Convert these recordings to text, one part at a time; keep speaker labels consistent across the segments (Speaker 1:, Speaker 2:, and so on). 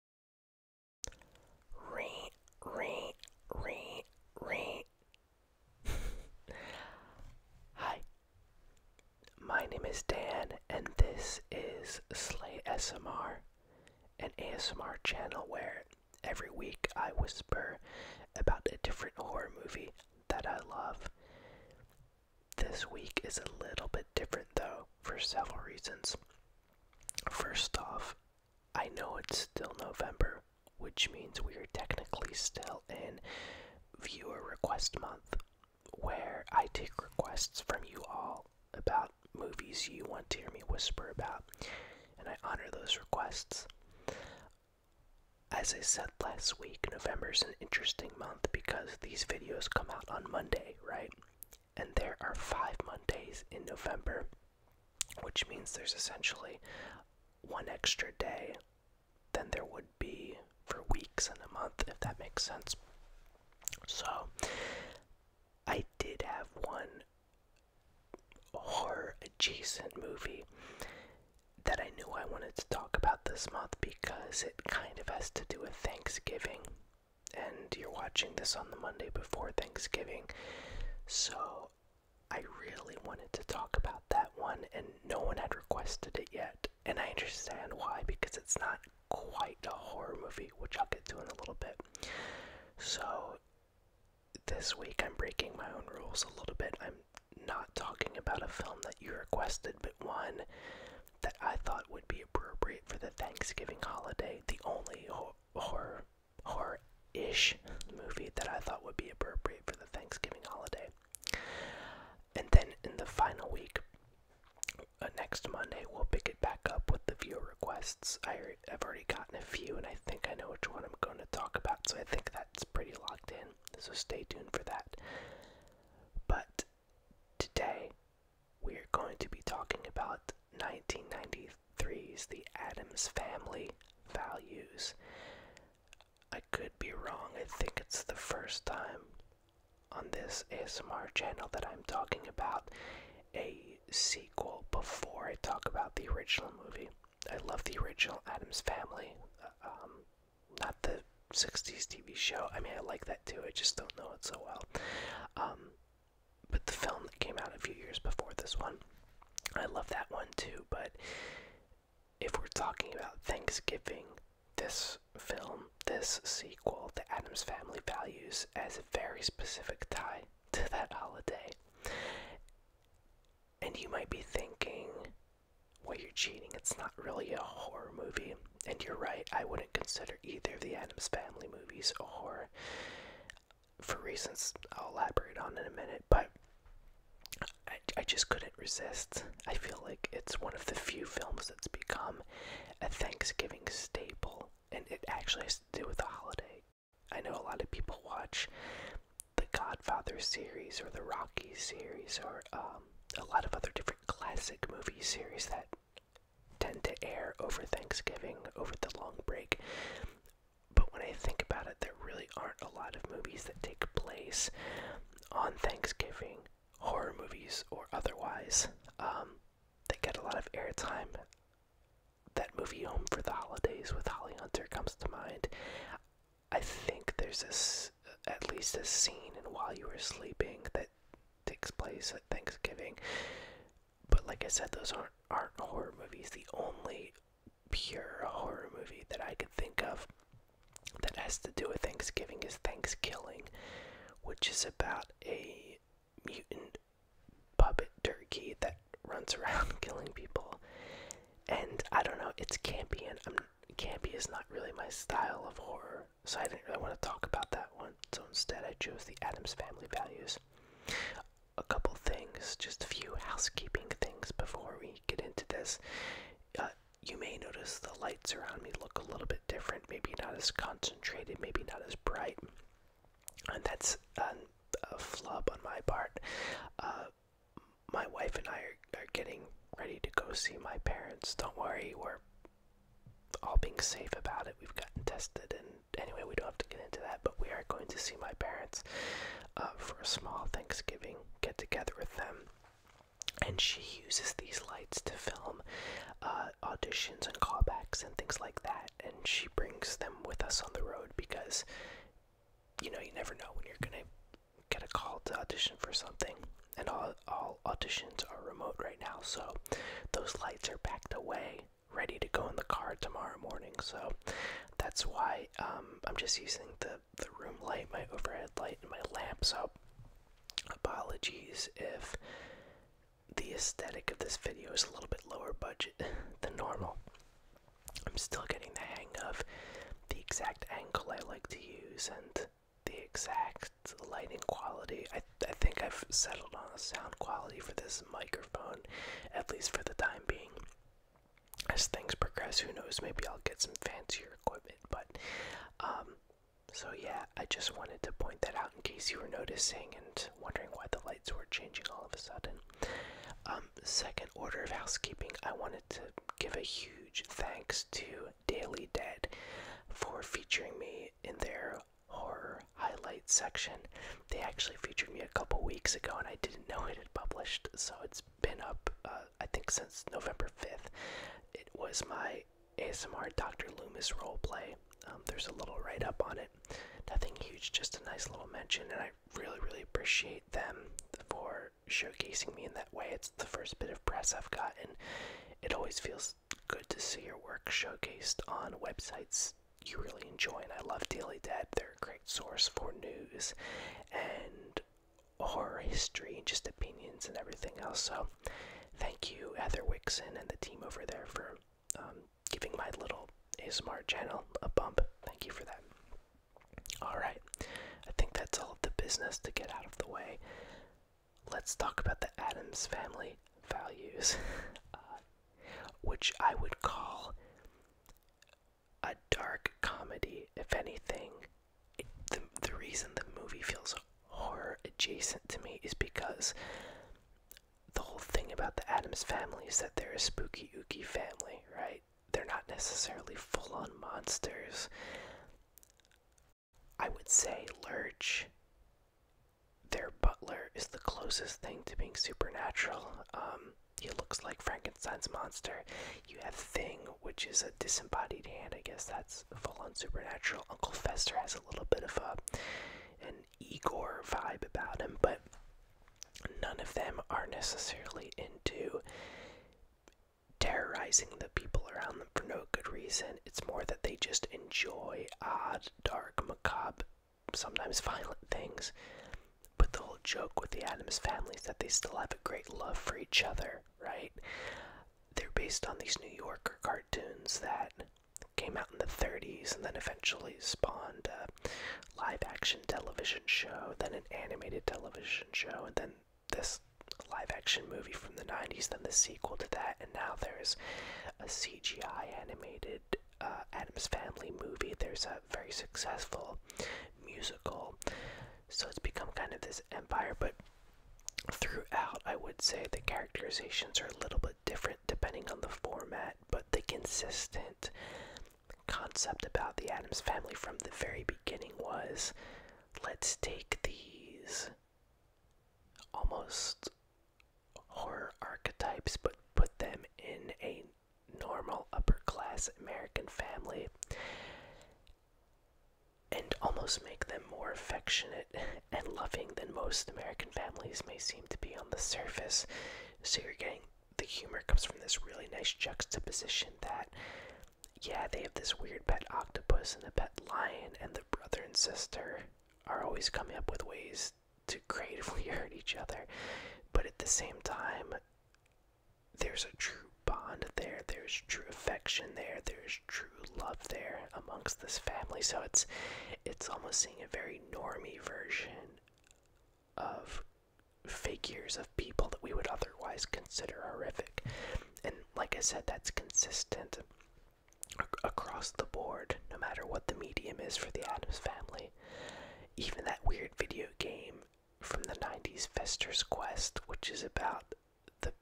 Speaker 1: Hi, my name is Dan, and this is Slay SMR, an ASMR channel where every week I whisper about a different horror movie that I love. This week is a little bit different though, for several reasons. First off, I know it's still November, which means we are technically still in viewer request month, where I take requests from you all about movies you want to hear me whisper about, and I honor those requests. As I said last week, November is an interesting month because these videos come out on Monday, right? and there are five Mondays in November, which means there's essentially one extra day than there would be for weeks in a month, if that makes sense. So, I did have one horror adjacent movie that I knew I wanted to talk about this month because it kind of has to do with Thanksgiving and you're watching this on the Monday before Thanksgiving. So I really wanted to talk about that one, and no one had requested it yet. And I understand why, because it's not quite a horror movie, which I'll get to in a little bit. So this week I'm breaking my own rules a little bit. I'm not talking about a film that you requested, but one that I thought would be appropriate for the Thanksgiving holiday. The only horror horror ish movie that I thought would be appropriate for the Thanksgiving holiday. And then in the final week, uh, next Monday, we'll pick it back up with the viewer requests. I, I've already gotten a few, and I think I know which one I'm going to talk about, so I think that's pretty locked in. So stay tuned for that. But today, we're going to be talking about 1993's The Adams Family Values. I could be wrong, I think it's the first time on this ASMR channel that I'm talking about a sequel before I talk about the original movie. I love the original Adams Family, um, not the 60s TV show. I mean, I like that too, I just don't know it so well. Um, but the film that came out a few years before this one. I love that one too, but if we're talking about Thanksgiving, this film, this sequel, to Adams Family Values, has a very specific tie to that holiday. And you might be thinking, well, you're cheating. It's not really a horror movie. And you're right, I wouldn't consider either of the Adams Family movies a horror for reasons I'll elaborate on in a minute, but I, just couldn't resist. I feel like it's one of the few films that's become a Thanksgiving staple, and it actually has to do with the holiday. I know a lot of people watch the Godfather series or the Rocky series or um, a lot of other different classic movie series that tend to air over Thanksgiving, over the long break. But when I think about it, there really aren't a lot of movies that take place on Thanksgiving, horror movies or otherwise, um, that get a lot of airtime. That movie Home for the Holidays with Holly Hunter comes to mind. I think there's this, at least a scene in While You Were Sleeping that takes place at Thanksgiving but like I said, those aren't aren't horror movies. The only pure horror movie that I could think of that has to do with Thanksgiving is Thanksgiving, which is about a mutant puppet turkey that runs around killing people. And I don't know, it's campy, and I'm, um, campy is not really my style of horror, so I didn't really want to talk about that one. So instead, I chose the Adams Family Values a couple things, just a few housekeeping things before we get into this. Uh, you may notice the lights around me look a little bit different, maybe not as concentrated, maybe not as bright. And that's a flub on my part. Uh, my wife and I are getting ready to go see my parents. Don't worry, we're all being safe about it. We've gotten tested and anyway, we don't have to get into that, but we are going to see my parents uh, for a small Thanksgiving get together with them. And she uses these lights to film uh, auditions and callbacks and things like that. And she brings them with us on the road because, you know, you never know when you're going to get a call to audition for something. And all, all auditions are remote right now, so those lights are packed away ready to go in the car tomorrow morning. So that's why um, I'm just using the the room light, my overhead light, and my lamp. So apologies if the aesthetic of this video is a little bit lower budget than normal. I'm still getting the hang of the exact angle I like to use and the exact lighting quality. I, I think I've settled on a sound quality for this microphone, at least for the time being. As things progress, who knows? Maybe I'll get some fancier equipment. But, um, so yeah, I just wanted to point that out in case you were noticing and wondering why the lights were changing all of a sudden. Um, second order of housekeeping, I wanted to give a huge thanks to Daily Dead for featuring me in their horror highlight section. They actually featured me a couple weeks ago, and I didn't know it had published, so it's been up, uh, I think, since November 5th. It was my ASMR Dr. Loomis role play. Um, there's a little write up on it. Nothing huge, just a nice little mention, and I really, really appreciate them for showcasing me in that way. It's the first bit of press I've gotten. It always feels good to see your work showcased on websites you really enjoy. And I love Daily Dead. they're a great source for news and horror history and just opinions and everything else. So thank you, Heather Wixon and the team over there for um, giving my little ASMR channel a bump. Thank you for that. Alright, I think that's all of the business to get out of the way. Let's talk about the Adams family values. Uh, which I would call a dark comedy, if anything. the, the reason the movie feels horror adjacent to me is because the whole thing about the Adams family is that they're a spooky, ooky family, right? They're not necessarily full on monsters. I would say Lurch, their butler, is the closest thing to being supernatural. Um, he looks like Frankenstein's monster. You have Thing, which is a disembodied hand. I guess that's full on supernatural. Uncle Fester has a little bit of a an Igor vibe about him, but none of them are necessarily into terrorizing the people around them for no good reason. It's more that they just enjoy odd, dark, macabre sometimes violent things. But the whole joke with the Adams family is that they still have a great love for each other, right? They're based on these New Yorker cartoons that came out in the 30s and then eventually spawned a live action television show, then an animated television show, and then this live action movie from the 90s, then the sequel to that, and now there's a CGI animated uh, Adam's Family movie, there's a very successful musical. So it's become kind of this empire, but throughout, I would say the characterizations are a little bit different depending on the format, but the consistent concept about the Adams Family from the very beginning was let's take these almost horror archetypes but put them in a normal upper class American family and almost make them more affectionate and loving than most American families may seem to be on the surface. So you're getting the humor comes from this really nice juxtaposition that yeah, they have this weird pet octopus and a pet lion and the brother and sister are always coming up with ways us to creatively hurt each other, but at the same time, there's a true bond there, there's true affection there, there's true love there amongst this family. So it's it's almost seeing a very normy version of figures of people that we would otherwise consider horrific. And like I said, that's consistent across the board, no matter what the medium is for the Adams family. Even that weird video game from the 90s, Fester's Quest, which is about the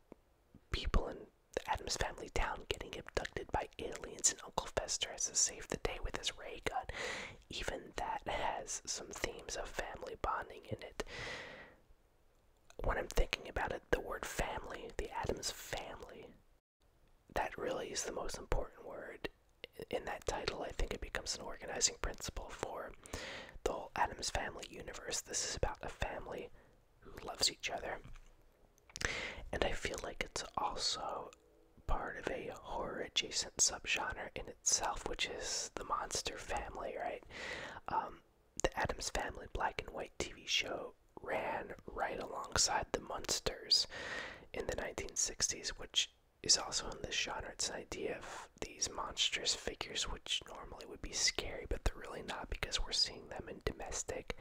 Speaker 1: people in the Adams family town getting abducted by aliens, and Uncle Fester has to save the day with his ray gun. Even that has some themes of family bonding in it. When I'm thinking about it, the word family, the Adams family, that really is the most important word in that title, I think it becomes an organizing principle for the whole Adams Family universe. This is about a family who loves each other. And I feel like it's also part of a horror adjacent subgenre in itself, which is the monster family, right? Um, the Adams Family black and white TV show ran right alongside the Munsters in the 1960s, which is also in this genre. It's an idea of these monstrous figures, which normally would be scary, but they're really not because we're seeing them in domestic,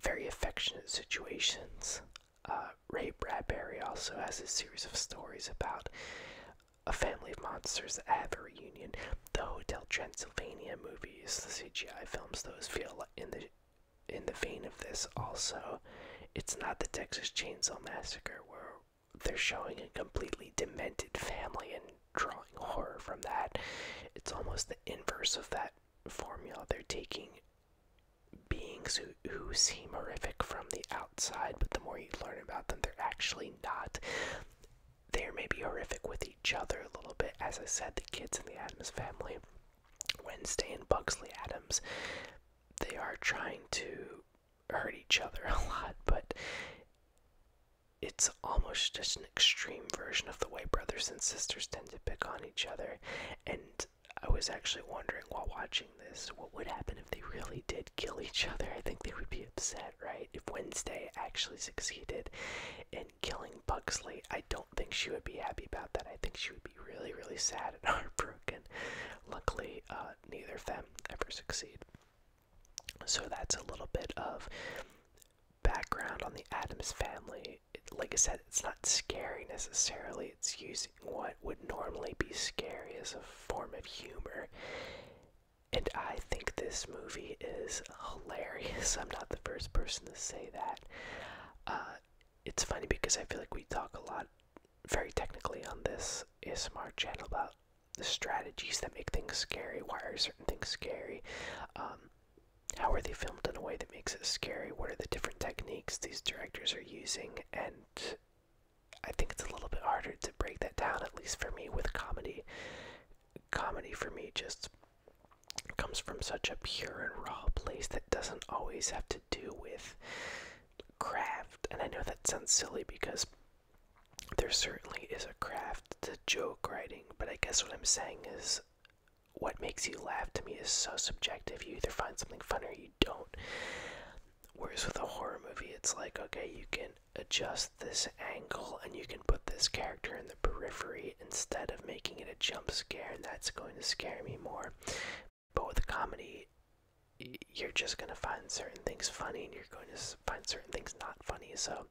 Speaker 1: very affectionate situations. Uh, Ray Bradbury also has a series of stories about a family of monsters that have a reunion. The Hotel Transylvania movies, the CGI films, those feel in the in the vein of this also it's not the texas chainsaw massacre where they're showing a completely demented family and drawing horror from that it's almost the inverse of that formula they're taking beings who, who seem horrific from the outside but the more you learn about them they're actually not they may be horrific with each other a little bit as i said the kids in the adams family wednesday and bugsley adams they are trying to hurt each other a lot, but it's almost just an extreme version of the way brothers and sisters tend to pick on each other. And I was actually wondering while watching this what would happen if they really did kill each other. I think they would be upset, right? If Wednesday actually succeeded in killing Buxley, I don't think she would be happy about that. I think she would be really, really sad and heartbroken. Luckily, uh, neither of them ever succeed. So that's a little bit of background on the Adams family. like I said, it's not scary necessarily. It's using what would normally be scary as a form of humor. And I think this movie is hilarious. I'm not the first person to say that. Uh, it's funny because I feel like we talk a lot very technically on this ASMR channel about the strategies that make things scary. Why are certain things scary? Um, how are they filmed in a way that makes it scary? What are the different techniques these directors are using? And I think it's a little bit harder to break that down, at least for me, with comedy. Comedy for me just comes from such a pure and raw place that doesn't always have to do with craft, and I know that sounds silly because there certainly is a craft to joke writing, but I guess what I'm saying is what makes you laugh to me is so subjective. You either find something fun or you don't. Whereas with a horror movie, it's like, okay, you can adjust this angle and you can put this character in the periphery instead of making it a jump scare, and that's going to scare me more. But with comedy, you're just going to find certain things funny and you're going to find certain things not funny. So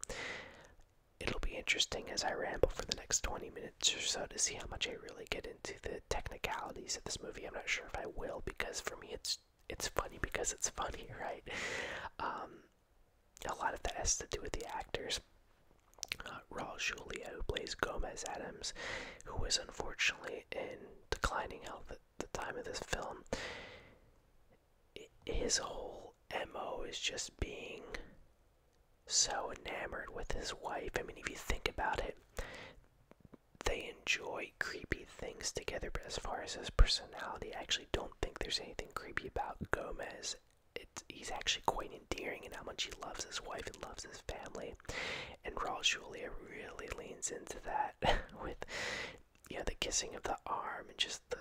Speaker 1: it'll be interesting as I ramble for the next 20 minutes or so to see how much I really get into the technicalities of this movie. I'm not sure if I will because for me it's it's funny because it's funny, right? Um, a lot of that has to do with the actors. Uh, Raul Julia, who plays Gomez Adams, who was unfortunately in declining health at the time of this film. His whole MO is just being so enamored with his wife. I mean, if you think about it, they enjoy creepy things together, but as far as his personality, I actually don't think there's anything creepy about Gomez. he's actually quite endearing in how much he loves his wife and loves his family and Raul Julia really leans into that with you the kissing of the arm and just the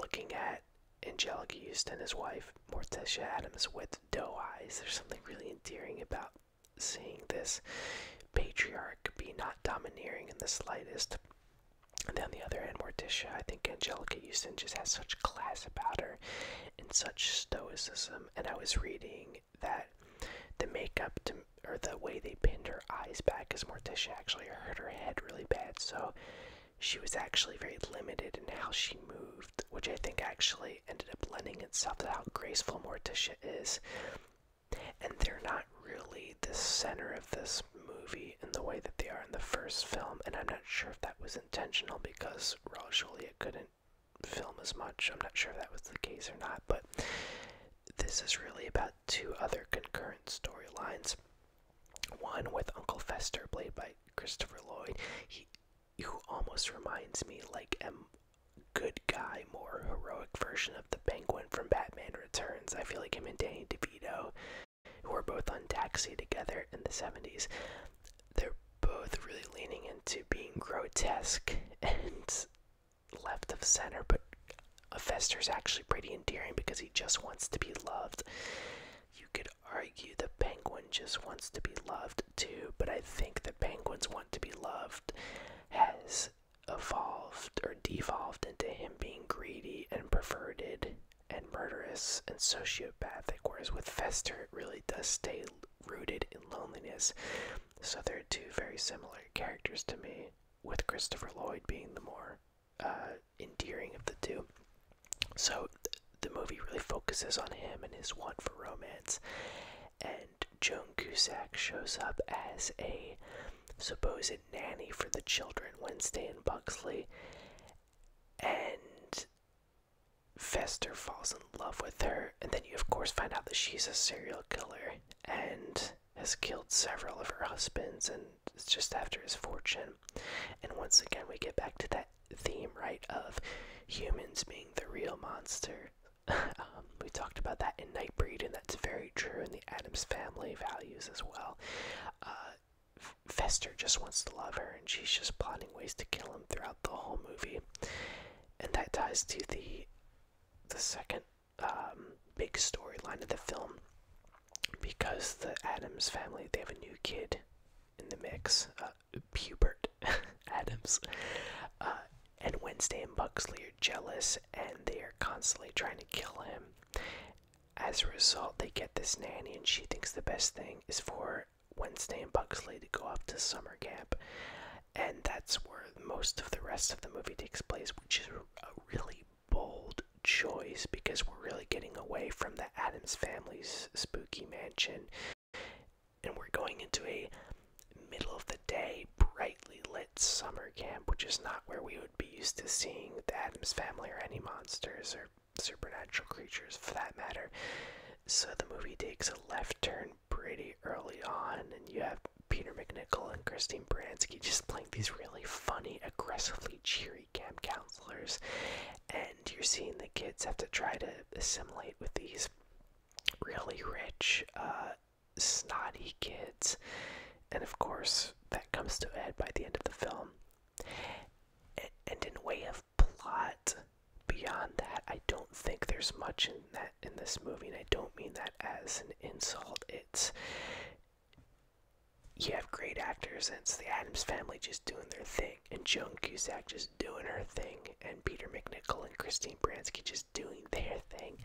Speaker 1: looking at Angelica Houston, his wife Morticia Adams, with doe eyes. There's something really endearing about seeing this patriarch be not domineering in the slightest. And then on the other hand, Morticia, I think Angelica Houston just has such class about her and such stoicism. And I was reading that the makeup to or the way they pinned her eyes back because Morticia actually hurt her head really bad, so she was actually very limited in how she moved, which I think actually ended up lending itself to how graceful Morticia is. And they're not really the center of this movie in the way that they are in the first film, and I'm not sure if that was intentional because Raul couldn't film as much. I'm not sure if that was the case or not, but this is really about two other concurrent storylines. One with Uncle Fester, played by Christopher Lloyd, he, who almost reminds me like a good guy, more heroic version of the Penguin from Batman Returns. I feel like him and Danny DeVito, who were both on Taxi together in the 70s, they're both really leaning into being grotesque and left of center, but Fester's actually pretty endearing because he just wants to be loved. You could argue the penguin just wants to be loved too, but I think the penguin's want to be loved has evolved or devolved into him being greedy and perverted and murderous and sociopathic, whereas with Fester, it really does stay rooted in loneliness. So they're two very similar characters to me, with Christopher Lloyd being the more uh, endearing of the two. So the movie really focuses on him and his want for romance, and Joan Cusack shows up as a supposed nanny for the children Wednesday and Buxley, and Fester falls in love with her, and then you of course find out that she's a serial killer, and has killed several of her husbands and it's just after his fortune. And once again, we get back to that theme, right, of humans being the real monster. Um, we talked about that in Nightbreed, and that's very true in the Adams family values as well. Uh, Fester just wants to love her, and she's just plotting ways to kill him throughout the whole movie. And that ties to the the second um, big storyline of the film because the Adams family they have a new kid in the mix, Pubert uh, Adams, uh, and Wednesday and Buxley are jealous and they are constantly trying to kill him. As a result, they get this nanny, and she thinks the best thing is for Wednesday and Buxley to go off to summer camp and that's where most of the rest of the movie takes place, which is a really bold choice because we're really getting away from the Adams family's spooky mansion and we're going into a middle of the day, brightly lit summer camp, which is not where we would be used to seeing the Adams family or any monsters or supernatural creatures for that matter. So the movie takes a left turn pretty early on, and you have Peter McNichol and Christine Baranski just playing these really funny, aggressively cheery camp counselors, and you're seeing the kids have to try to assimilate with these really rich, uh, snotty kids, and of course, that comes to head by the end of the film. And in way of plot, beyond that, I don't think there's much in that in this movie, and I don't mean that as an insult. It's you have great actors, and it's the Adams family just doing their thing, and Joan Cusack just doing her thing, and Peter McNichol and Christine Bransky just doing their thing.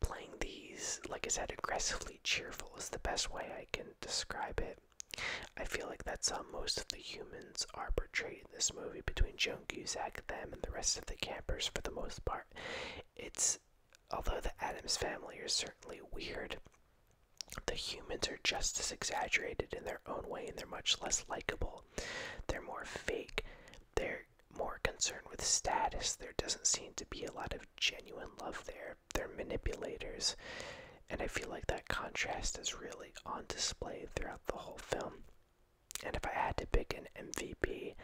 Speaker 1: Playing these, like I said, aggressively cheerful is the best way I can describe it. I feel like that's how most of the humans are portrayed in this movie between Joan Guzak them, and the rest of the campers for the most part. It's although the Adams family are certainly weird, the humans are just as exaggerated in their own way and they're much less likable. They're more fake. They're more concerned with status. There doesn't seem to be a lot of genuine love there. They're manipulators. And I feel like that contrast is really on display throughout the whole film. And if I had to pick an MVP,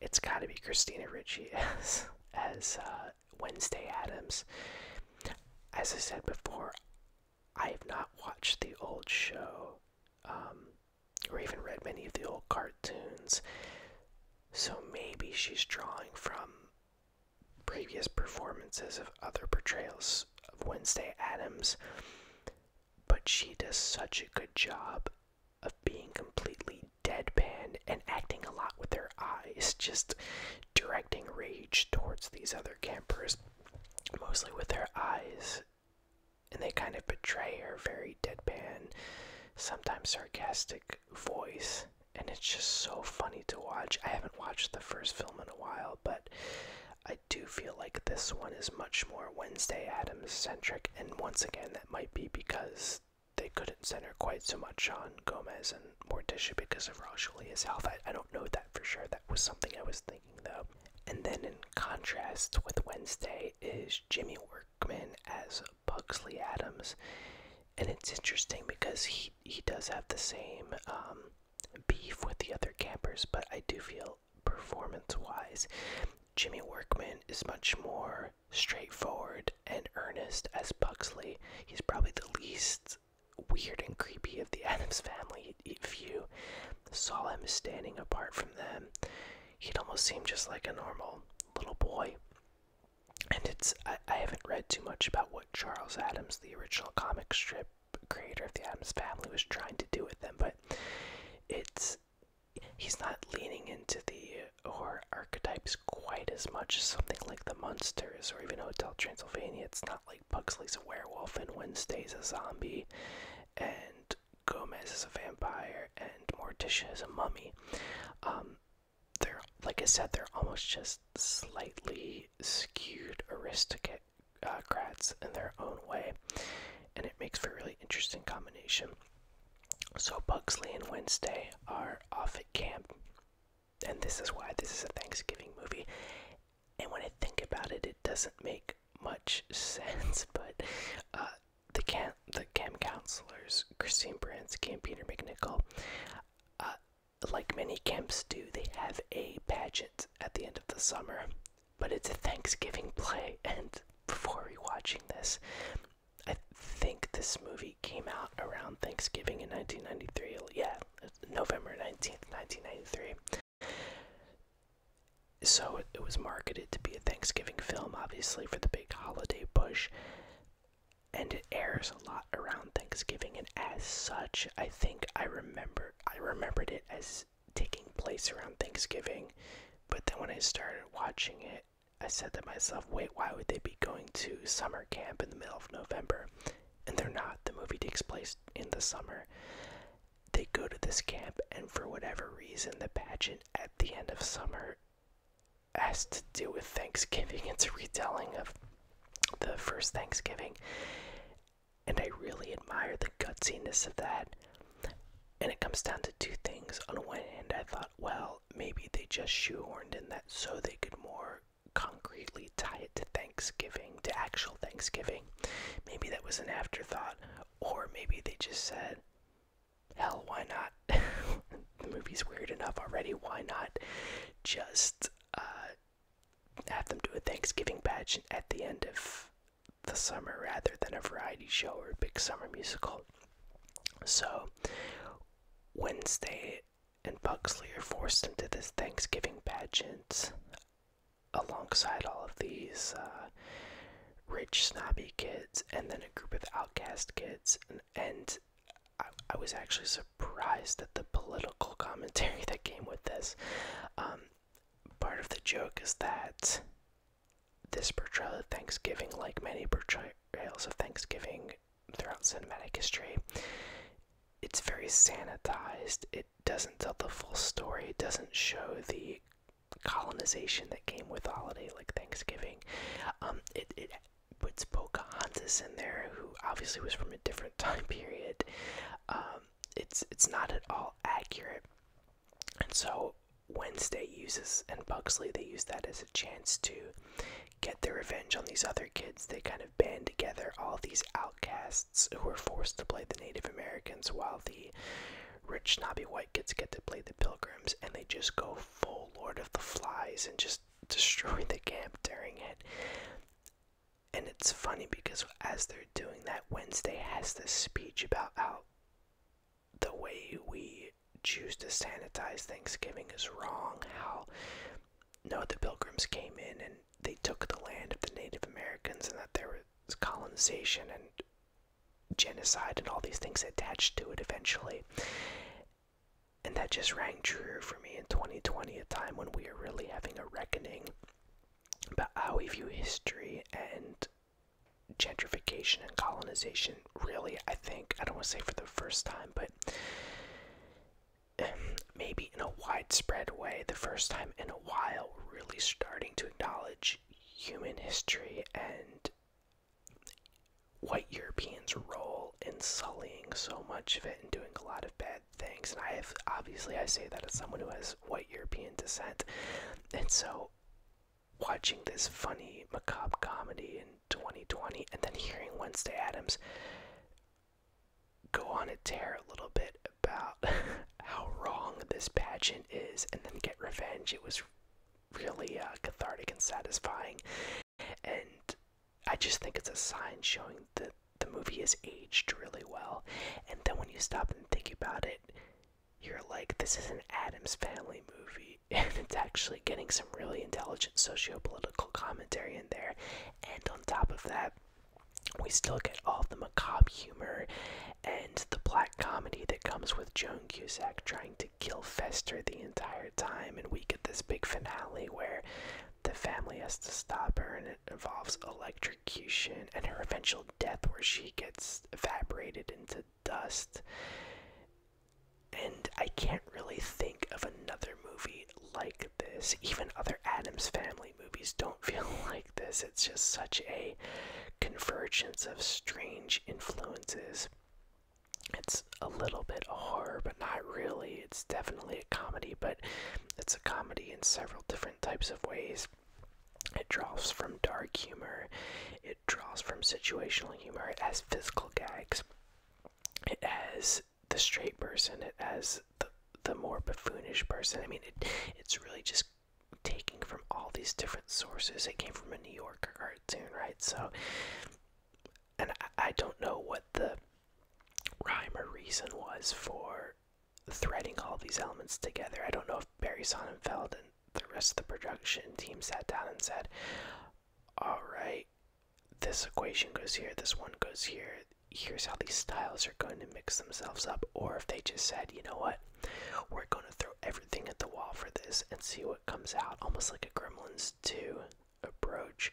Speaker 1: it's got to be Christina Ritchie as uh, Wednesday Adams. As I said before, I have not watched the old show, um, or even read many of the old cartoons. So maybe she's drawing from previous performances of other portrayals of Wednesday Adams, but she does such a good job of being completely deadpan and acting a lot with their eyes, just directing rage towards these other campers, mostly with their eyes. And they kind of betray her very deadpan, sometimes sarcastic voice. And it's just so funny to watch. I haven't watched the first film in a while, but I do feel like this one is much more Wednesday Adams centric and once again, that might be because they couldn't center quite so much on Gomez and Morticia because of Rochelia's health. I, I don't know that for sure. That was something I was thinking though. And then in contrast with Wednesday is Jimmy Workman as Pugsley Adams. And it's interesting because he, he does have the same um, beef with the other campers, but I do feel performance wise. Jimmy Workman is much more straightforward and earnest as Buxley. He's probably the least weird and creepy of the Adams family if you saw him standing apart from them. He'd almost seem just like a normal little boy. And it's I haven't read too much about what Charles Adams, the original comic strip creator of the Adams family, was trying to do with them, but it's he's not leaning into the horror archetypes quite as much as something like the Munsters or even Hotel Transylvania. It's not like Buxley's a werewolf and Wednesday's a zombie and Gomez is a vampire and Morticia is a mummy. Um, they're like I said, they're almost just slightly skewed aristocrat uh, in their own way, and it makes for a really interesting combination. So Buxley and Wednesday are off at camp. And this is why this is a Thanksgiving movie. And when I think about it, it doesn't make much sense. But uh, the camp, the camp counselors, Christine Brant, and Peter McNichol, uh, like many camps do, they have a pageant at the end of the summer but it's a Thanksgiving play. And before rewatching this, I think this movie came out around Thanksgiving in 1993. Yeah, November 19th, 1993. So it was marketed to be a Thanksgiving film, obviously, for the big holiday push. And it airs a lot around Thanksgiving, and as such, I think I remember I remembered it as taking place around Thanksgiving but then when I started watching it, I said to myself, wait, why would they be going to summer camp in the middle of November? And they're not. The movie takes place in the summer. They go to this camp, and for whatever reason, the pageant at the end of summer has to do with Thanksgiving. It's a retelling of the first Thanksgiving. And I really admire the gutsiness of that. And it comes down to two things. On one hand, I thought, well, maybe they just shoehorned in that so they could more concretely tie it to Thanksgiving, to actual Thanksgiving. Maybe that was an afterthought, or maybe they just said, hell, why not? the movie's weird enough already, why not just uh, have them do a Thanksgiving pageant at the end of the summer rather than a variety show or a big summer musical. So, Wednesday and Buxley are forced into this Thanksgiving pageant alongside all of these uh, rich, snobby kids and then a group of outcast kids. And, I, was actually surprised at the political commentary that came with this. Um, part of the joke is that this portrayal of Thanksgiving, like many portrayals of Thanksgiving throughout cinematic history, it's very sanitized. It doesn't tell the full story, it doesn't show the colonization that came with a holiday like Thanksgiving. Um, it, it puts Pocahontas in there, who obviously was from a different time period. Um, it's it's not at all accurate. And so Wednesday uses and Buxley they use that as a chance to get their revenge on these other kids. They kind of band together all these outcasts who were forced to play the Native Americans while the rich snobby white kids get to play the pilgrims and they just go full Lord of the Flies and just destroy the camp during it. And it's funny because as they're doing that, Wednesday has this speech about how the way we choose to sanitize Thanksgiving is wrong. How, no, the Pilgrims came in and they took the land of the Native Americans, and that there was colonization and genocide and all these things attached to it eventually. And that just rang true for me in 2020, a time when we are really having a reckoning about how we view history and gentrification and colonization, really, I think, I don't want to say for the first time, but maybe in a widespread way, the first time in a while, really starting to acknowledge human history and white Europeans' role in sullying so much of it and doing a lot of bad things. And I have, obviously, I say that as someone who has white European descent. And so watching this funny macabre comedy in 2020 and then hearing Wednesday Adams go on a tear a little bit about how wrong this pageant is and then get revenge. It was really uh, cathartic and satisfying. And I just think it's a sign showing that the movie has aged really well. And then when you stop and think about it, you're like, this is an Adams Family movie, and it's actually getting some really intelligent socio-political commentary in there. And on top of that, we still get all the macabre humor and the black comedy that comes with Joan Cusack trying to kill Fester the entire time, and we get this big finale where the family has to stop her, and it involves electrocution and her eventual death, where she gets evaporated into dust. And I can't really think of another movie like this. Even other Adams Family movies don't feel like this. It's just such a convergence of strange influences. It's a little bit horror, but not really. It's definitely a comedy, but it's a comedy in several different types of ways. It draws from dark humor, it draws from situational humor, As physical gags. It has the straight person. It has the the more buffoonish person. I mean, it it's really just taking from all these different sources. It came from a New Yorker cartoon, right? So, and I don't know what the rhyme or reason was for threading all these elements together. I don't know if Barry Sonnenfeld and the rest of the production team sat down and said, Alright, this equation goes here, this one goes here. Here's how these styles are going to mix themselves up, or if they just said, you know what, we're going to throw everything at the wall for this and see what comes out, almost like a Gremlins 2 approach.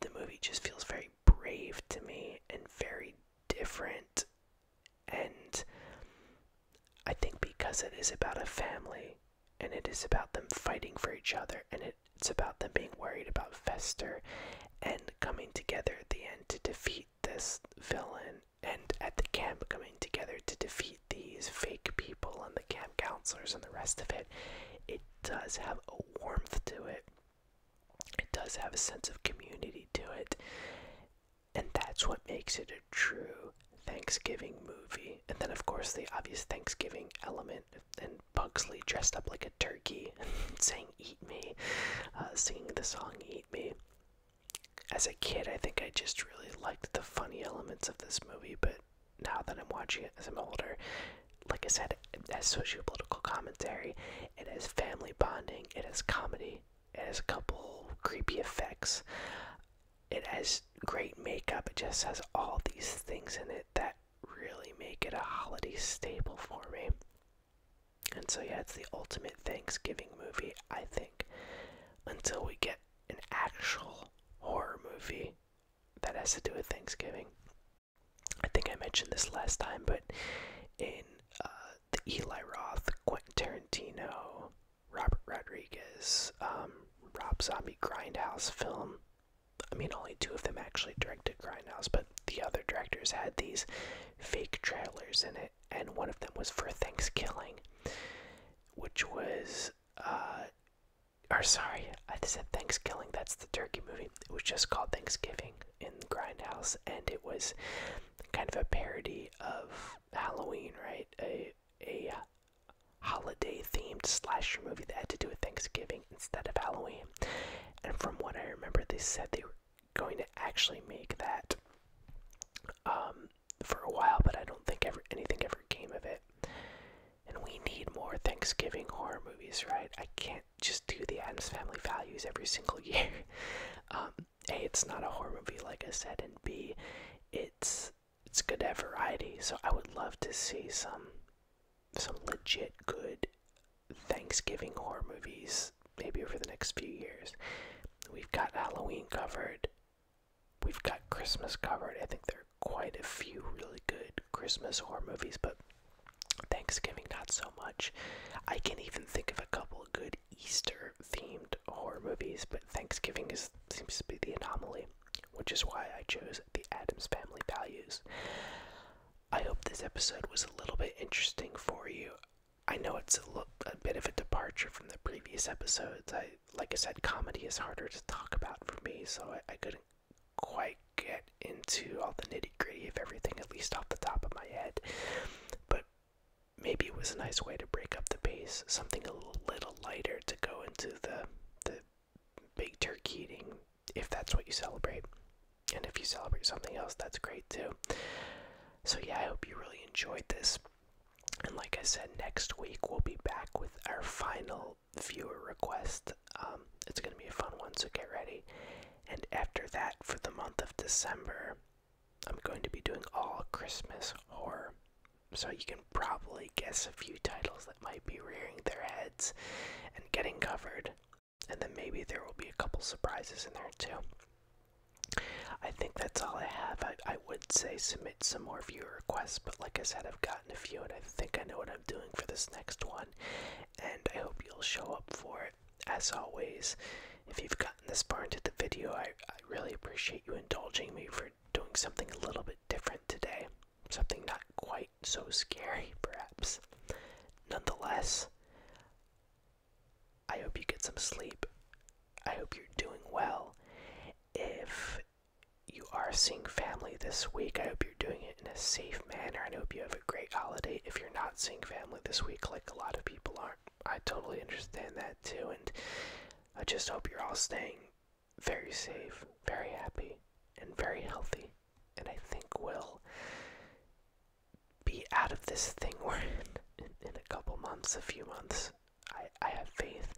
Speaker 1: The movie just feels very brave to me and very different, and I think because it is about a family and it is about them fighting for each other and it's about them being worried about Fester and coming together at the end to defeat this villain and at the camp coming together to defeat these fake people and the camp counselors and the rest of it. It does have a warmth to it. It does have a sense of community to it. And that's what makes it a true Thanksgiving movie. And then, of course, the obvious Thanksgiving element. And Bugsley dressed up like a turkey saying, Eat me, uh, singing the song, Eat me. As a kid, I think I just really liked the funny elements of this movie, but now that I'm watching it as I'm older, like I said, it has sociopolitical commentary, it has family bonding, it has comedy, it has a couple creepy effects it has great makeup. It just has all these things in it that really make it a holiday staple for me. And so, yeah, it's the ultimate Thanksgiving movie, I think, until we get an actual horror movie that has to do with Thanksgiving. I think I mentioned this last time, but in uh, the Eli Roth, Quentin Tarantino, Robert Rodriguez, um, Rob Zombie Grindhouse film. I mean, only two of them actually directed Grindhouse, but the other directors had these fake trailers in it, and one of them was for Thanksgiving, which was, uh, or sorry, I said Thanksgiving, that's the turkey movie. It was just called Thanksgiving in Grindhouse, and it was kind of a parody of Halloween, right? A, a holiday themed slasher movie that had to do with Thanksgiving instead of Halloween. And from what I remember, they said they were going to actually make that um, for a while, but I don't think ever anything ever came of it. And we need more Thanksgiving horror movies, right? I can't just do the Adams Family Values every single year. Um, a, it's not a horror movie, like I said, and B, it's it's good to have variety. So I would love to see some some legit good Thanksgiving horror movies maybe over the next few years. We've got Halloween covered. We've got Christmas covered. I think there are quite a few really good Christmas horror movies, but Thanksgiving not so much. I can even think of a couple of good Easter themed horror movies, but Thanksgiving is seems to be the anomaly which is why I chose the Adams Family Values. I hope this episode was a little bit interesting for you. I know it's a, little, a bit of a departure from the previous episodes. I, like I said, comedy is harder to talk about for me, so I, I couldn't quite get into all the nitty gritty of everything, at least off the top of my head. But maybe it was a nice way to break up the pace, something a little lighter to go into the the big turkey eating if that's what you celebrate. And if you celebrate something else, that's great too. So, yeah, I hope you really enjoyed this. And like I said, next week we'll be back with our final viewer request. Um, it's going to be a fun one, so get ready. And after that, for the month of December, I'm going to be doing all Christmas horror so you can probably guess a few titles that might be rearing their heads and getting covered. And then maybe there will be a couple surprises in there too. I think that's all I have. I, I would say submit some more viewer requests, but like I said, I've gotten a few and I think I know what I'm doing for this next one. And I hope you'll show up for it. As always, if you've gotten this far into the video, I, I really appreciate you indulging me for doing something a little bit different today something not quite so scary, perhaps. Nonetheless, I hope you get some sleep. I hope you're doing well. If you are seeing family this week, I hope you're doing it in a safe manner. I hope you have a great holiday. If you're not seeing family this week, like a lot of people aren't, I totally understand that too. And I just hope you're all staying very safe, very happy, and very healthy. And I think will be out of this thing we're in, a couple months, a few months. I, I have faith.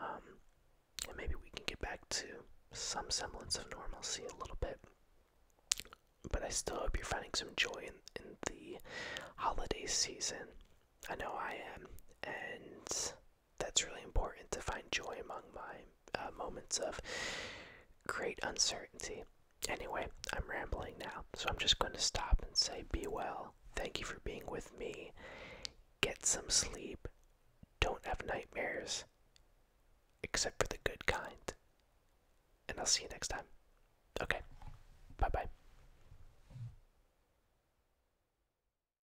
Speaker 1: Um, and maybe we can get back to some semblance of normalcy a little bit. But I still hope you're finding some joy in, in the holiday season. I know I am. And that's really important to find joy among my uh, moments of great uncertainty. Anyway, I'm rambling now, so I'm just going to stop and say be well. Thank you for being with me. Get some sleep. Don't have nightmares, except for the good kind. And I'll see you next time. Okay, bye bye.